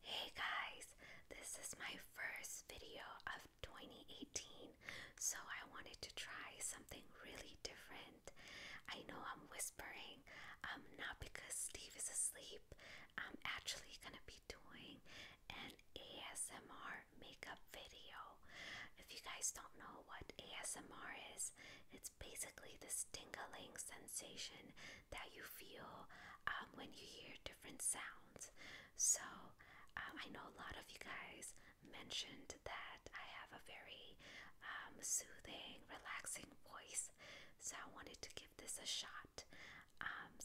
Hey guys, this is my first video of 2018, so I wanted to try something really different. I know I'm whispering, um, not because Steve is asleep, I'm actually gonna be doing an ASMR makeup video. If you guys don't know what ASMR is, it's basically this tingling sensation that you feel um, when you hear different sounds. So, um, I know a lot of you guys mentioned that I have a very um, soothing, relaxing voice, so I wanted to give this a shot.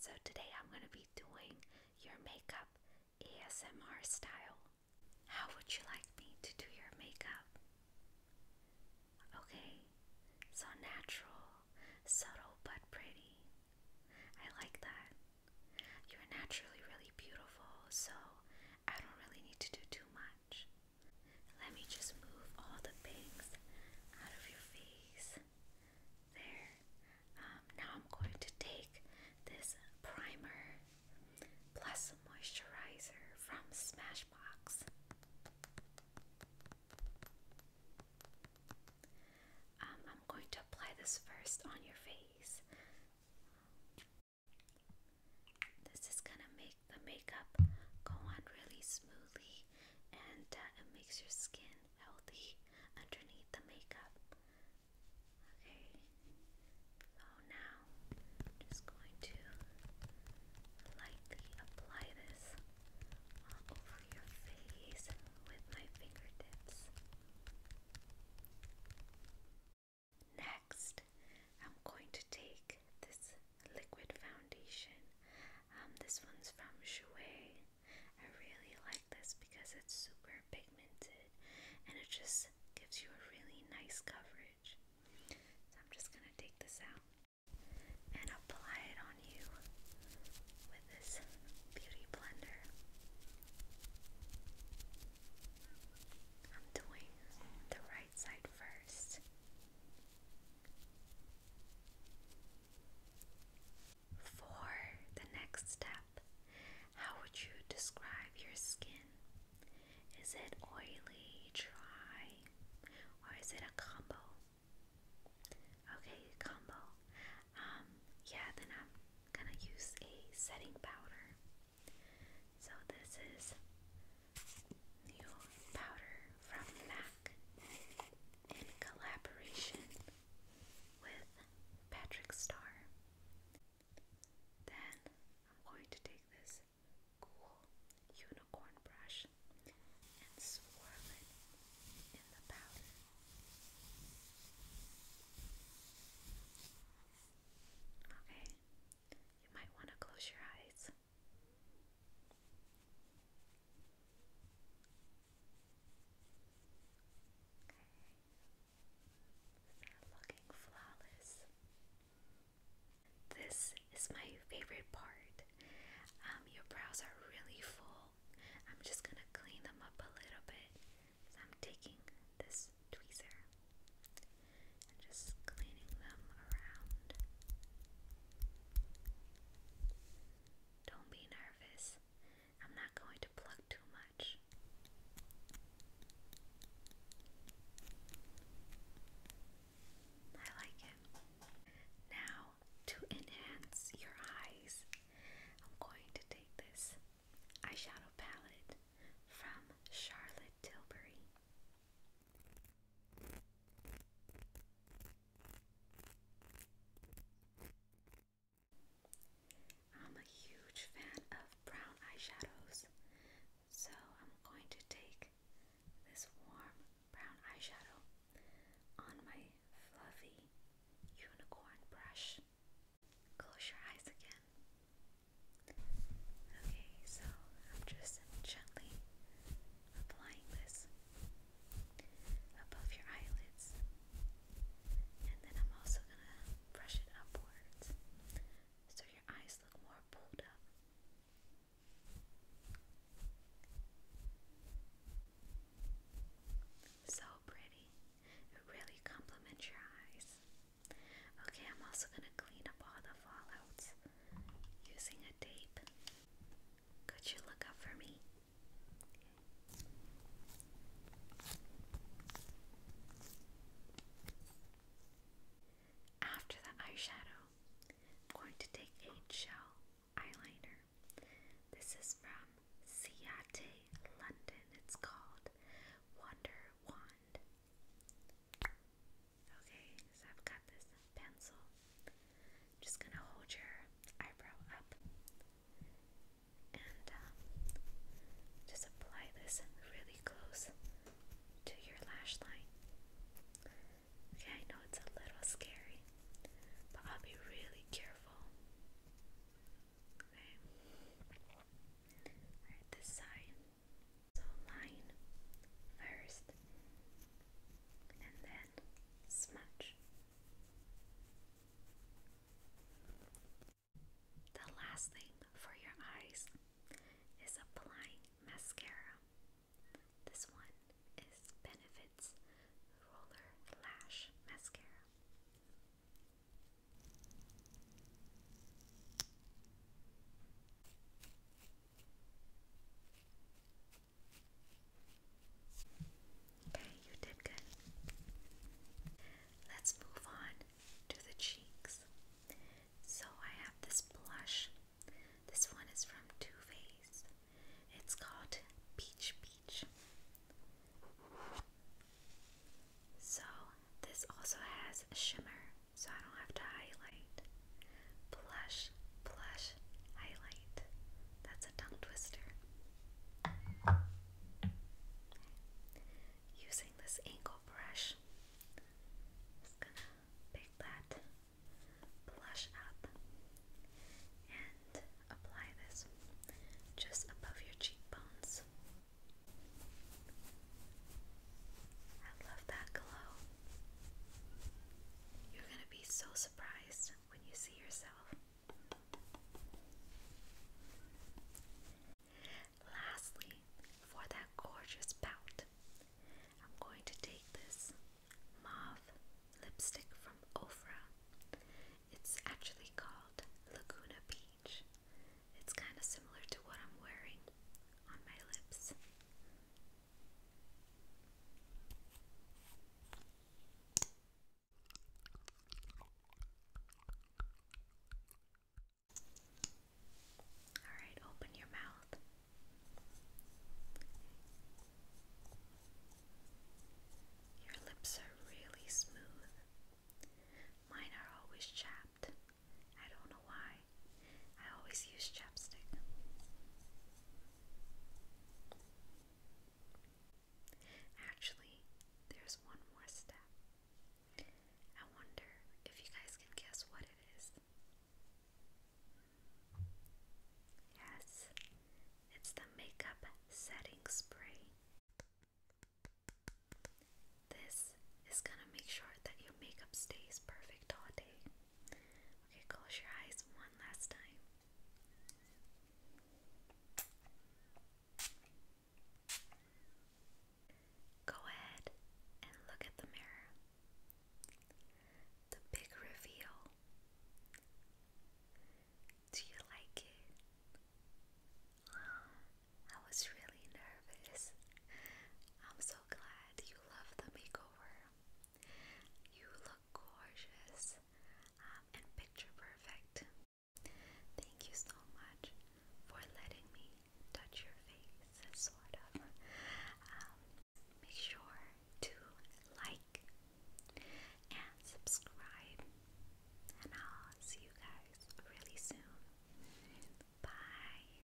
so, today I'm going to be doing your makeup ASMR style. How would you like me to do your makeup? Okay, so natural, subtle but pretty. I like that. You're naturally really beautiful, so I don't really need to do too much. Let me just move all the bangs out of your face. There. Um, now I'm going to take this primer plus moisturizer from Smashbox. Um, I'm going to apply this first on your face. This is going to make the makeup go on really smoothly and uh, it makes your skin healthy underneath the makeup. Okay, so now I'm just going to lightly apply this all over your face with my fingertips. Next, I'm going to take this liquid foundation. Um, this one's from Jouer. I really like this because it's super pigmented and it just gives you a really nice coverage. So I'm just going to take this out and apply it on you with this beauty blender. I'm doing the right side first. For the next step, how would you describe your skin? Is it oily, dry, or is it a combo? Okay, combo. Um, yeah, then I'm gonna use a setting powder. So this is new powder from MAC in collaboration with Patrick Star. Then I'm going to take this cool unicorn brush and swirl it in the powder. Okay, you might want to close your eyes. looking flawless. This is my favorite part. Um, your brows are really full. I'm just gonna clean them up a little bit. I'm taking this tweezer and just cleaning them around. Don't be nervous. I'm not going to pluck too much. I like it. Now, to enhance your eyes, I'm going to take this eyeshadow palette from Charlotte Tilbury. I'm a huge fan of brown eyeshadows, so I'm going to take this warm brown eyeshadow on my fluffy unicorn brush. Close your eyes again. Okay, so I'm just gently applying this above your eyelids, and then I'm also gonna brush it upwards so your eyes look more pulled up. So pretty. It really complements your eyes. Okay, I'm also going to clean up all the fallouts using a tape. Could you look up for me? After the eyeshadow, I'm going to take a gel eyeliner. This is from Ciate London. It's called Wonder Wand. Okay, so I've got this pencil. I'm just gonna hold your eyebrow up and um, just apply this really close to your lash line. Okay, I know it's a little scary, but I'll be really careful. Okay. Alright, this side. So line first and then smudge. The last thing for your eyes is applying mascara. This one is Benefits Roller Lash Mascara. Okay, you did good. Let's move on to the cheeks. So I have this blush this one is from Too Faced. It's called Peach Peach. So, this also has shimmer, so I don't have to highlight. Blush, blush, highlight. That's a tongue twister. Using this angle brush, just gonna pick that blush up and apply this just above your cheekbones. I love that glow. You're going to be so surprised when you see yourself. Lastly, for that gorgeous pout, I'm going to take this mauve lipstick from Ofra. It's actually called Laguna Peach. It's kind of similar to what I'm wearing on my lips. Alright, open your mouth. Your lips are really smooth. Mine are always chapped. I don't know why. I always use chapstick. Actually, there's one more step. I wonder if you guys can guess what it is. Yes, it's the makeup setting spray. This is gonna make sure that your makeup stays perfect all day. Okay, close your eyes one last time. Go ahead and look at the mirror. The big reveal. Do you like it? I was really nervous. I'm so glad you love the makeover. You look gorgeous um, and picture perfect. Thank you so much for letting me touch your face, sort of. Um, make sure to like and subscribe, and I'll see you guys really soon. Bye.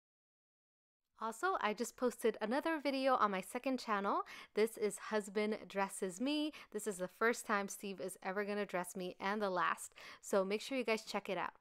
Also, I just posted another video on my second channel. This is Husband Dresses Me. This is the first time Steve is ever gonna dress me and the last, so make sure you guys check it out.